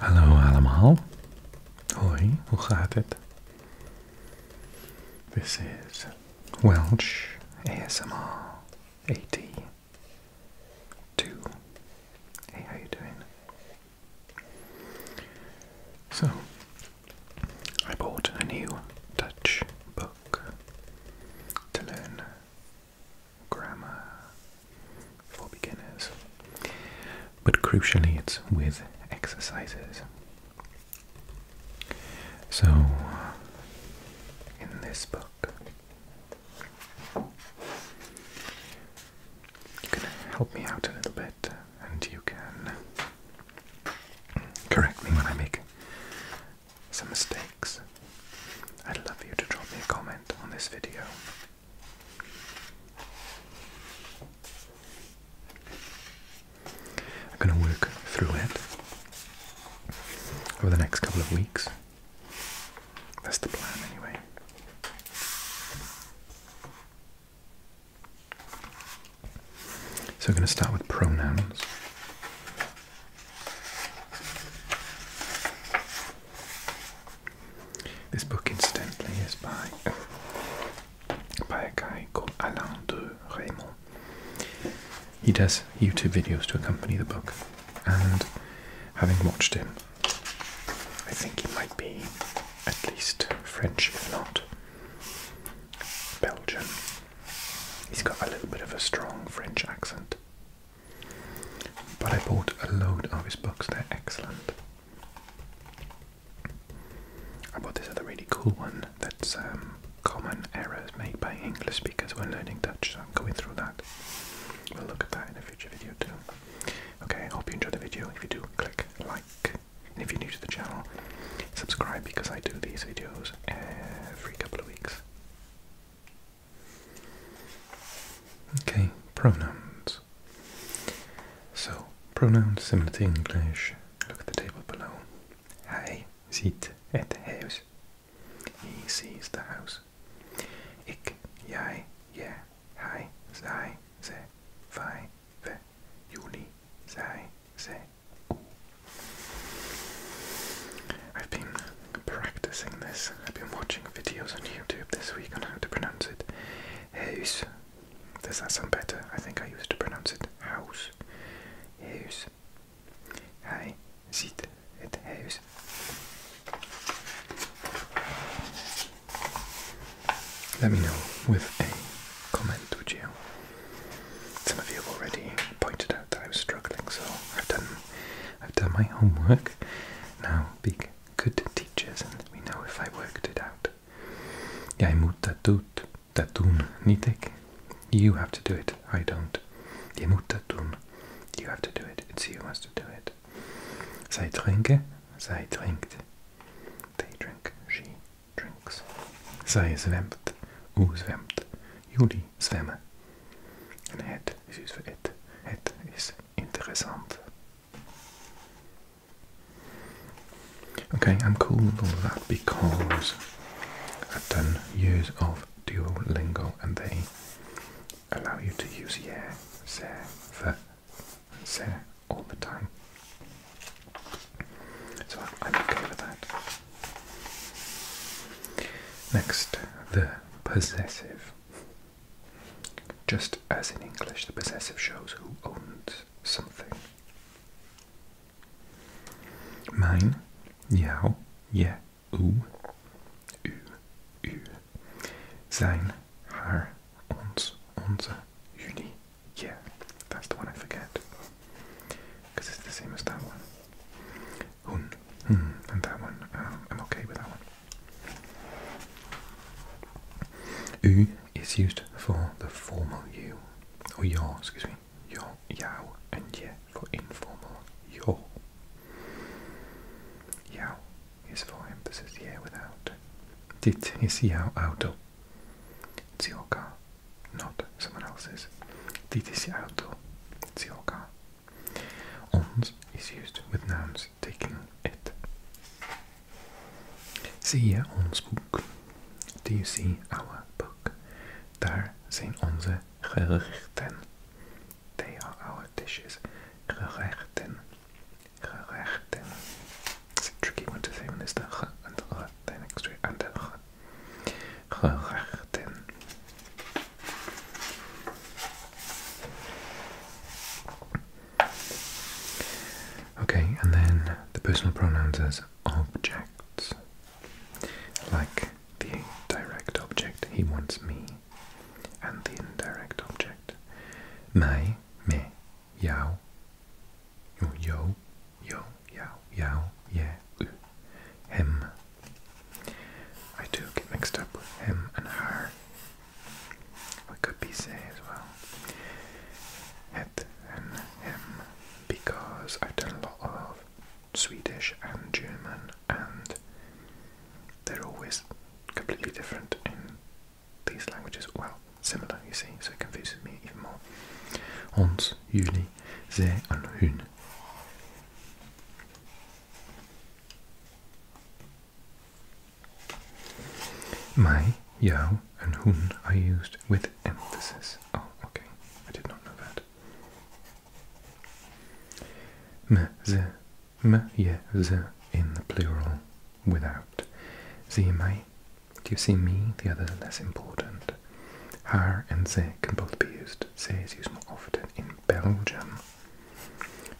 Hello, allemaal. Hoi, hoe gaat This is Welsh ASMR 82. Hey, how you doing? So, I bought a new Dutch book to learn grammar for beginners. But crucially, it's with exercises. So, in this book, you can help me out a little bit and you can correct me when I make some mistakes. I'd love for you to drop me a comment on this video. I'm going to work through it over the next couple of weeks. That's the plan, anyway. So, we're going to start with pronouns. This book, incidentally, is by by a guy called Alain de Raymond. He does YouTube videos to accompany the book, and having watched him, I think he might be at least French, if not Belgian. He's got a little bit of a strong French accent. But I bought a load of his books, they're excellent. I bought this other really cool one that's um, common errors made by English speakers when learning Dutch, so I'm going through that. We'll look at that in a future video too. Okay, I hope you enjoyed the video. If you do, click like. And if you're new to the channel, subscribe because I do these videos every couple of weeks. Okay, pronouns. So, pronouns similar to English. Look at the table below. Hij ziet het huis. He sees the house. Ik, jij, je, hij, zij, ze, wij, we, jullie, zij, ze, u. I've been practicing this. I've been watching videos on YouTube this week on how to pronounce it. House. Does that sound better? I think I used to pronounce it house. House. Hij ziet het huis. Let me know with a comment, would you? Some of you have already pointed out that I was struggling, so I've done I've done my homework. Now, be good teachers, and let me know if I worked it out. Yaimut tatut, tatun nitek. You have to do it, I don't. Yaimut tatun, you have to do it, it's you who has to do it. Zij drinken, zij drinkt. They drink, she drinks. Zij zwemt, u zwemt. Jullie zwemmen. En het is dus het. Het is interessant. Okay, I'm cool with all of that because I've done years of Duolingo and they allow you to use yeah, "se", the, "se" all the time. So I'm okay with that. Next, the possessive. Just as in English, the possessive shows who owns something. Mine, Yao, Ye, U, U, U. Sein, Haar, Ons, Onze, Uni, Yeah. That's the one I forget. Because it's the same as that one. Hun, Hmm, and that one. Uh, I'm okay with that one. U is used for the formal you, or your, excuse me, your, yao, and ye for informal your. Yao is for emphasis, Yeah, without. Dit is jouw auto. It's your car, not someone else's. Dit is je auto. It's your car, Ons is used with nouns taking it. Zie ons boek. Do you see our book? Daar zijn onze gerechten. They are our dishes. Gerechten. Gerechten. It's a tricky one to say when there's the and the r, then next to it the r. Gerechten. Okay, and then the personal pronouns as objects. Like the direct object, he wants me, and the indirect object, my, me, yao, yo, yo, yao, yao, ye, u, him, I do get mixed up with him and her. We could be say as well. It and him because I've done a lot of Swedish and German and they're always completely different in these languages. Well, similar you see, so it confuses me even more. Ons, jullie, zij en hun. My, yao, and hun are used with emphasis. Oh, okay. I did not know that. M, z, m, ye, z in the plural without. Z, my. Do you see me? The other less important. Har and ze can both be used. Ze is used more often in Belgium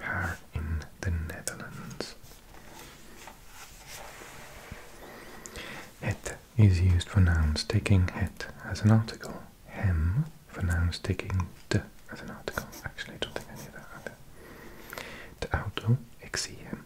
here in the Netherlands. Het is used for nouns taking het as an article. Hem for nouns taking de as an article. Actually, I don't think I need that either. De auto, ik zie hem.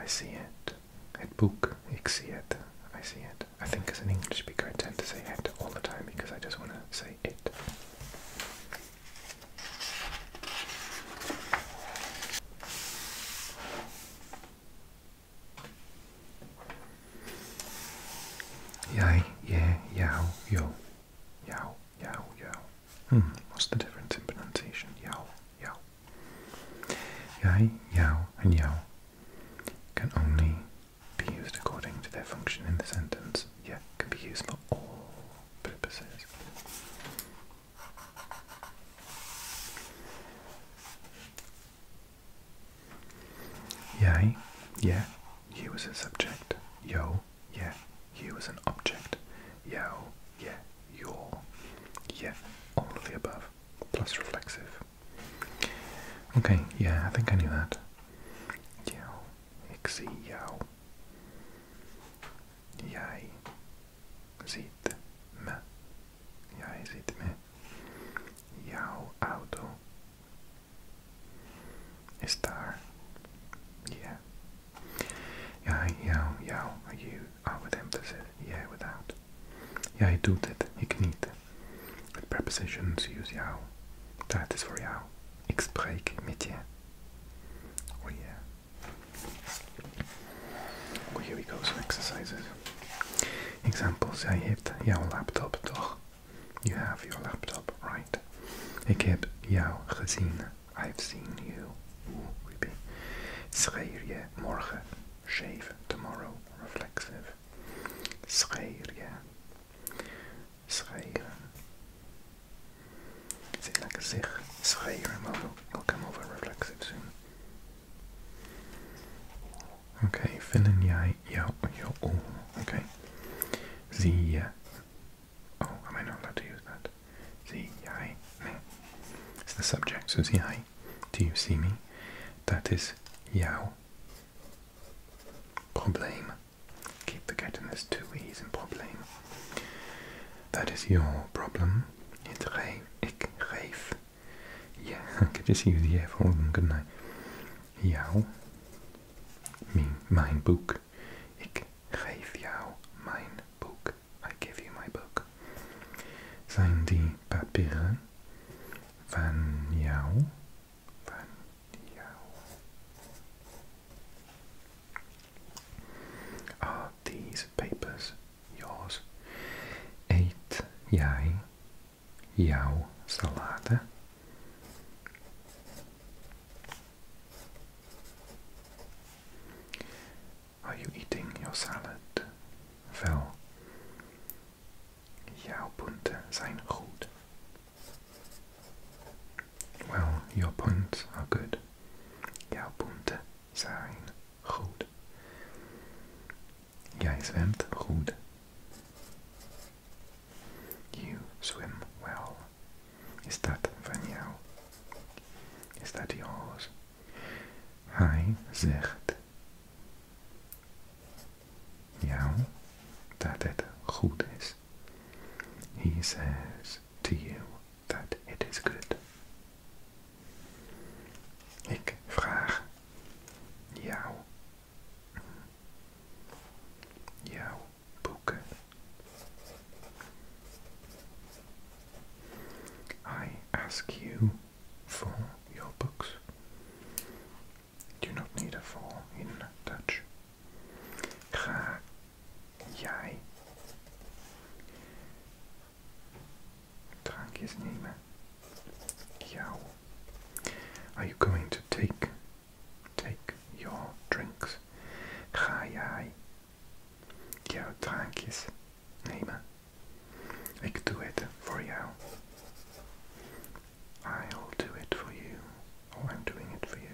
I see it. Het boek, ik zie het. I see it. I think as an English speaker, I tend to say it all the time because I just want to say it. Yay, yeah, yow, yo. Yow, yow, yow. Hmm, what's the difference in pronunciation? Yow, yow. Yay, yow, and yow can only be used according to their function in the sentence, Yeah, can be used for all purposes. Yeah, yeah, you was a subject. Yo, yeah, you was an object. Yo, yeah, your. Yeah, all of the above, plus reflexive. Okay, yeah, I think I knew that. Yow. Ixie yow. Jij ziet me. Jij ziet me. Jouw auto is daar. Yeah. Jij, jou, jou. You. I would emphasize. Yeah, without. Jij doet het. Ik niet. With prepositions, use jau. That is for jou. Ik spreek met Oh yeah. Well, oh, here we go, some exercises. Examples, I have your laptop, toch? You have your laptop, right? Ik heb jou gezien. I've seen you. Oeh, Schreer je morgen. Shave tomorrow. Reflexive. Schreer je Schrijven. Zit lekker zich schrijven, maar we'll come over reflexive soon. okay, vinden jij jouw, jouw oor. Okay. Zie Oh, am I not allowed to use that? Zie jij me. It's the subject, so zie jij. Do you see me? That is yao. Problem. Keep forgetting there's two E's in problem. That is your problem. It's geef. Ik geef. Yeah, I could just use the for all of them, couldn't I? Jou. Me, mijn boek. Ik geef jou mijn boek. I give you my book. Zijn die papieren van jou? Are these papers yours? Eet jij jouw Are you eating your salad? Phil? Jouw punten zijn goed. Well, your points are good. Jouw punten zijn goed. Jij zwemt goed. You swim well. Is dat van jou? Is dat yours? Hij zegt jou that it goed is. He says to you that it is good. I ask you for your books do not need a vowel in Dutch. Ga jij drankjes nemen? Jou. Are you going to take take your drinks? Ga jij jouw drankjes nemen? Ik doe het voor jou. I'll do it for you, or oh, I'm doing it for you.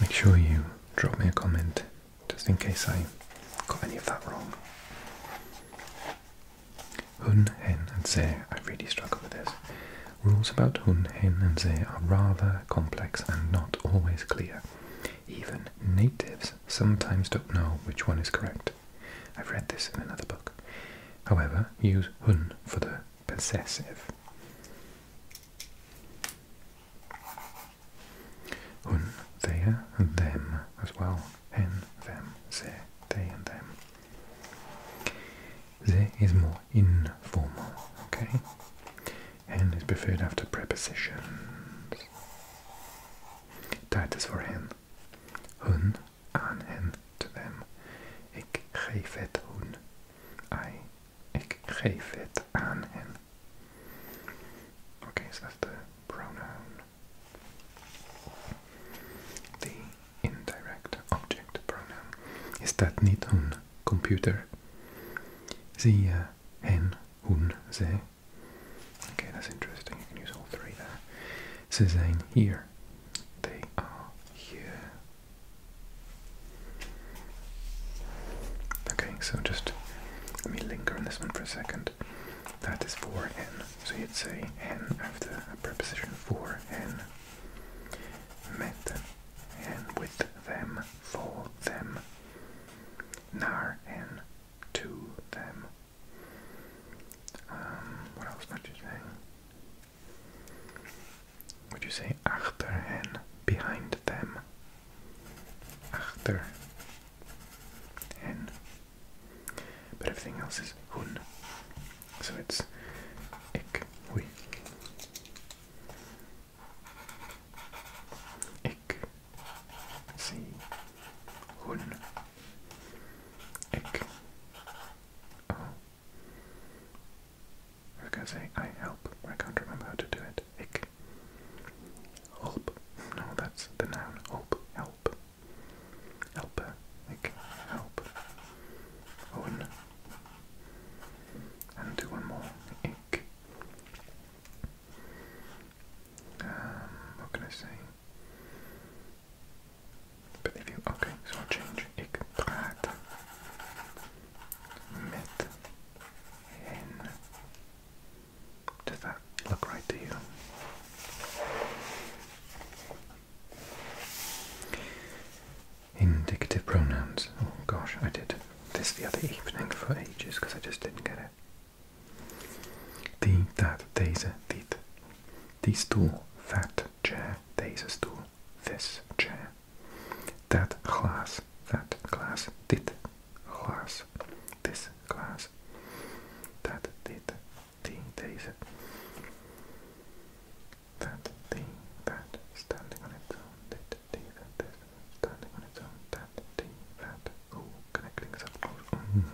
Make sure you drop me a comment just in case I got any of that wrong. Hun, hen, and ze, I really struggle with this. Rules about hun, hen, and ze are rather complex and not always clear. Even natives sometimes don't know which one is correct. I've read this in another book. However, use hun for the possessive. Hun, they, and them as well hen, them, they, and them. They is more informal, okay? Hen is preferred after prepositions. Titus for hen. Hun, an hen to them. Ik geef het hun. I, ik geef het aan hen. Okay, so that's the pronoun. The indirect object pronoun is that niet een computer. The uh, eh, hen, hun, ze. Okay, that's interesting. You can use all three there. Ze zijn here. They are here. Okay, so just let me linger on this one for a second. That is for n. So you'd say n after a preposition for n. Met n with them, for them. Nar n to them. Um, what else might you say? Would you say achter n behind them? Achter hen, but everything else is hun. So it's ik hui. Ik sie hun. Ik oh. I was gonna say I help, I can't remember how to do it. Ik. help. No, that's the noun. help. Help. Help. Like, help. Owen. And do one more. Ick. Um, what can I say? okay, so change. Ik praat met hen. Does that look right to you? Indicative pronouns. Oh gosh, I did this the other evening for ages because I just didn't get it. The, that, these, these. The stool, that chair, deze stoel, this chair. That glass, that glass, dit glass, this glass. That, dit that thing that standing on its own that thing that this standing on its own that thing that oh connecting is up close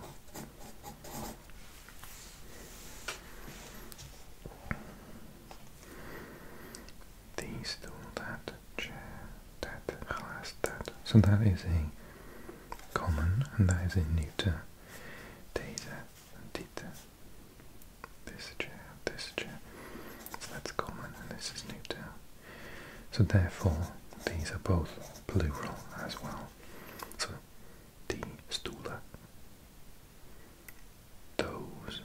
These two, that chair, that glass, that. So that is a common, and that is in neuter, data, and This chair, this chair. That's common, and this is neuter. So therefore, these are both plural as well. So, die Stula. Those.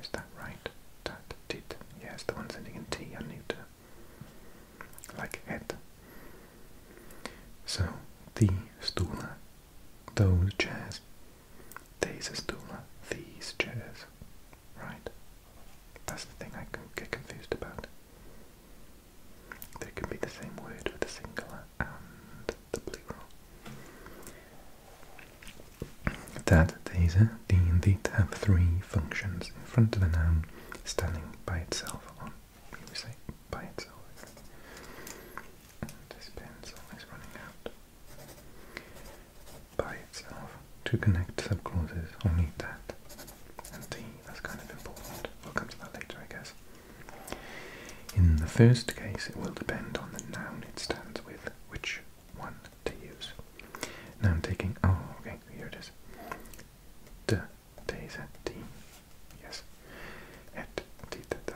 Is that right? That did. Yes, the ones ending in T are neuter like head. So the stula, those chairs, these stula, these chairs, right? That's the thing I can get confused about. They can be the same word with the singular and the plural. That these are the indeed have three functions in front of a noun standing by itself on say by itself. this pencil is running out. By itself. To connect subclauses, I'll that. And T, that's kind of important. We'll come to that later, I guess. In the first case, it will depend on the noun it stands with, which one to use. Now I'm taking, oh, okay, here it is. de, deze, die, yes, het, dit dat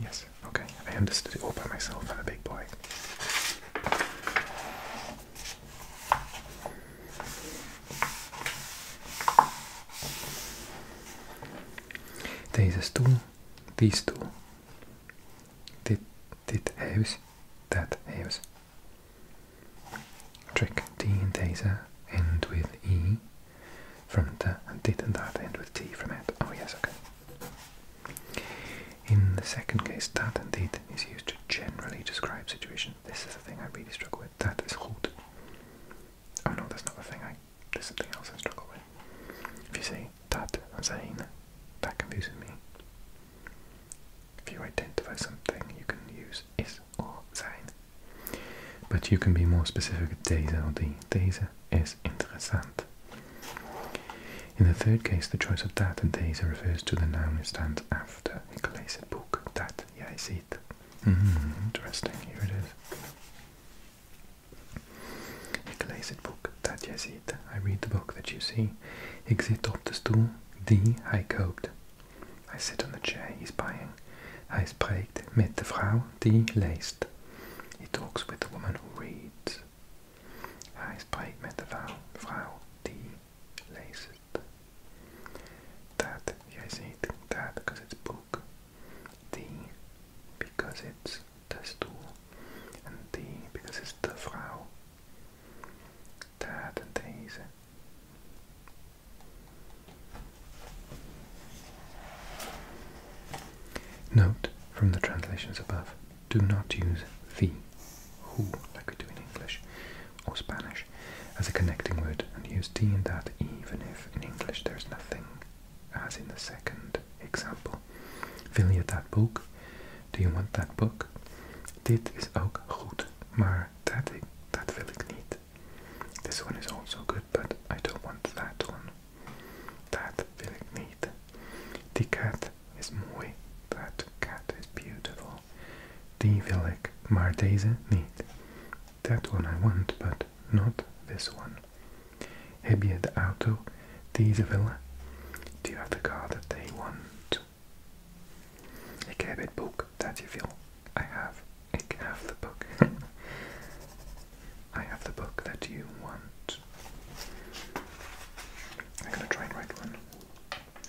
Yes, okay, I understood it all by myself, I'm a big boy. Deze stoel, deze stoel. Dit, dit huis, dat huis. Trick D and Taser end with E from the and did and that end with T from it. Oh yes, okay. In the second case, that and did is used to generally describe situations. This is the thing I really struggle with. That is goed. Oh no, that's not the thing I there's something else I struggle with. If you say that I'm saying that confuses me. If you identify something, you can use is or sein. But you can be more specific deze or the Deze is interessant. In the third case, the choice of that and deze refers to the noun it stands after. Ik lees that boek, dat jij ziet. Mm -hmm. Interesting, here it is. Ik lees het boek dat jij I read the book that you see. Exit up the stool die I koopt. I sit on the chair he's buying. Hij spreekt met de vrouw die leest. He talks with the woman who reads. Hij spreekt met de vrouw, vrouw die leest. That, jij ziet, that because it's book. Die, because it's de stoel. En die, because it's the vrouw. Tá, tanta risa. Note from the translations above, do not use the, who, like we do in English or Spanish, as a connecting word and use t in that even if in English there is nothing, as in the second example. Fill that book do you want that book? Dit is ook goed, maar dat, ik, dat wil ik niet. This one is also good, but I don't want that one. Dat wil ik niet. Die is mooi. That cat is beautiful. Die wil ik, maar That one I want, but not this one. Heb je de auto Do you have the car that they want? Ik heb het book that you feel. I have. I have the book. I have the book that you want. I'm gonna try and write one.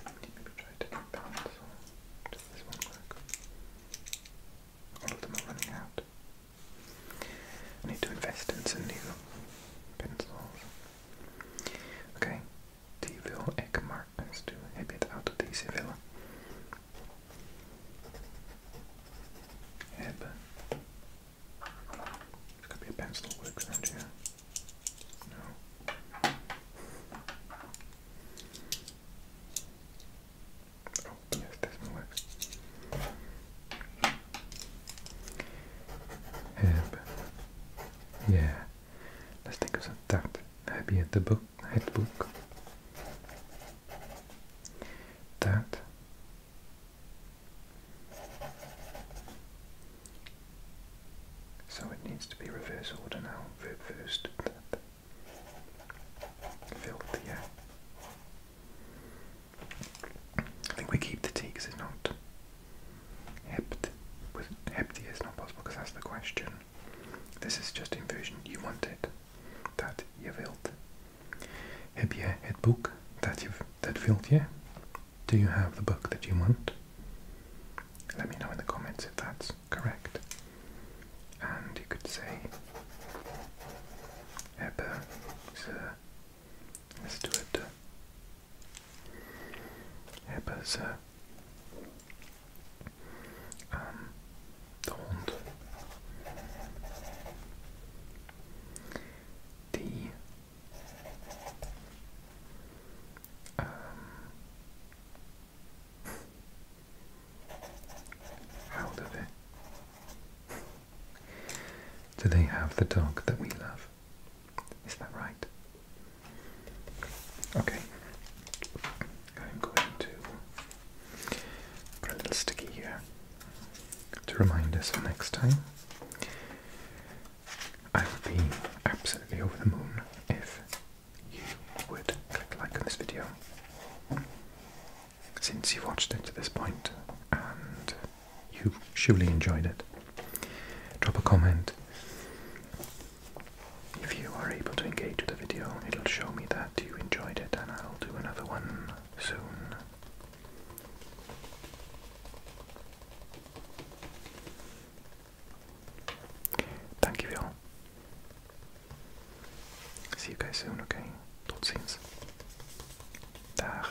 Maybe try to get balance. this one work? All of them are running out. I need to invest in some new pencils. Okay, die wil ik maar eens doen. Heb je het auto die ze willen? Hebben. works around No. Oh, yes, this works. Have. Yeah. Let's tänka oss att that maybe at the book head book. That so it needs to be reverse order now. first. That. Filthy, yeah. I think we keep the T because it's not Hept with hepti is not possible because that's the question. This is just inversion. You want it. That je built. Heb je het boek that you've that filled je? Do you have the book that you want? Let me know in the comments if that's correct. And you could say Hebben ze. Let's do it hebben ze uh, um, de um, do they have the dog that we love? Is that right? Okay. I'm going to put a little sticky here to remind us for next time. I would be absolutely over the moon if you would click like on this video. Since you have watched it to this point and you surely enjoyed it, Drop a comment. If you are able to engage with the video, it'll show me that you enjoyed it and I'll do another one soon. Thank you all. See you guys soon, okay? Tot ziens. Dag.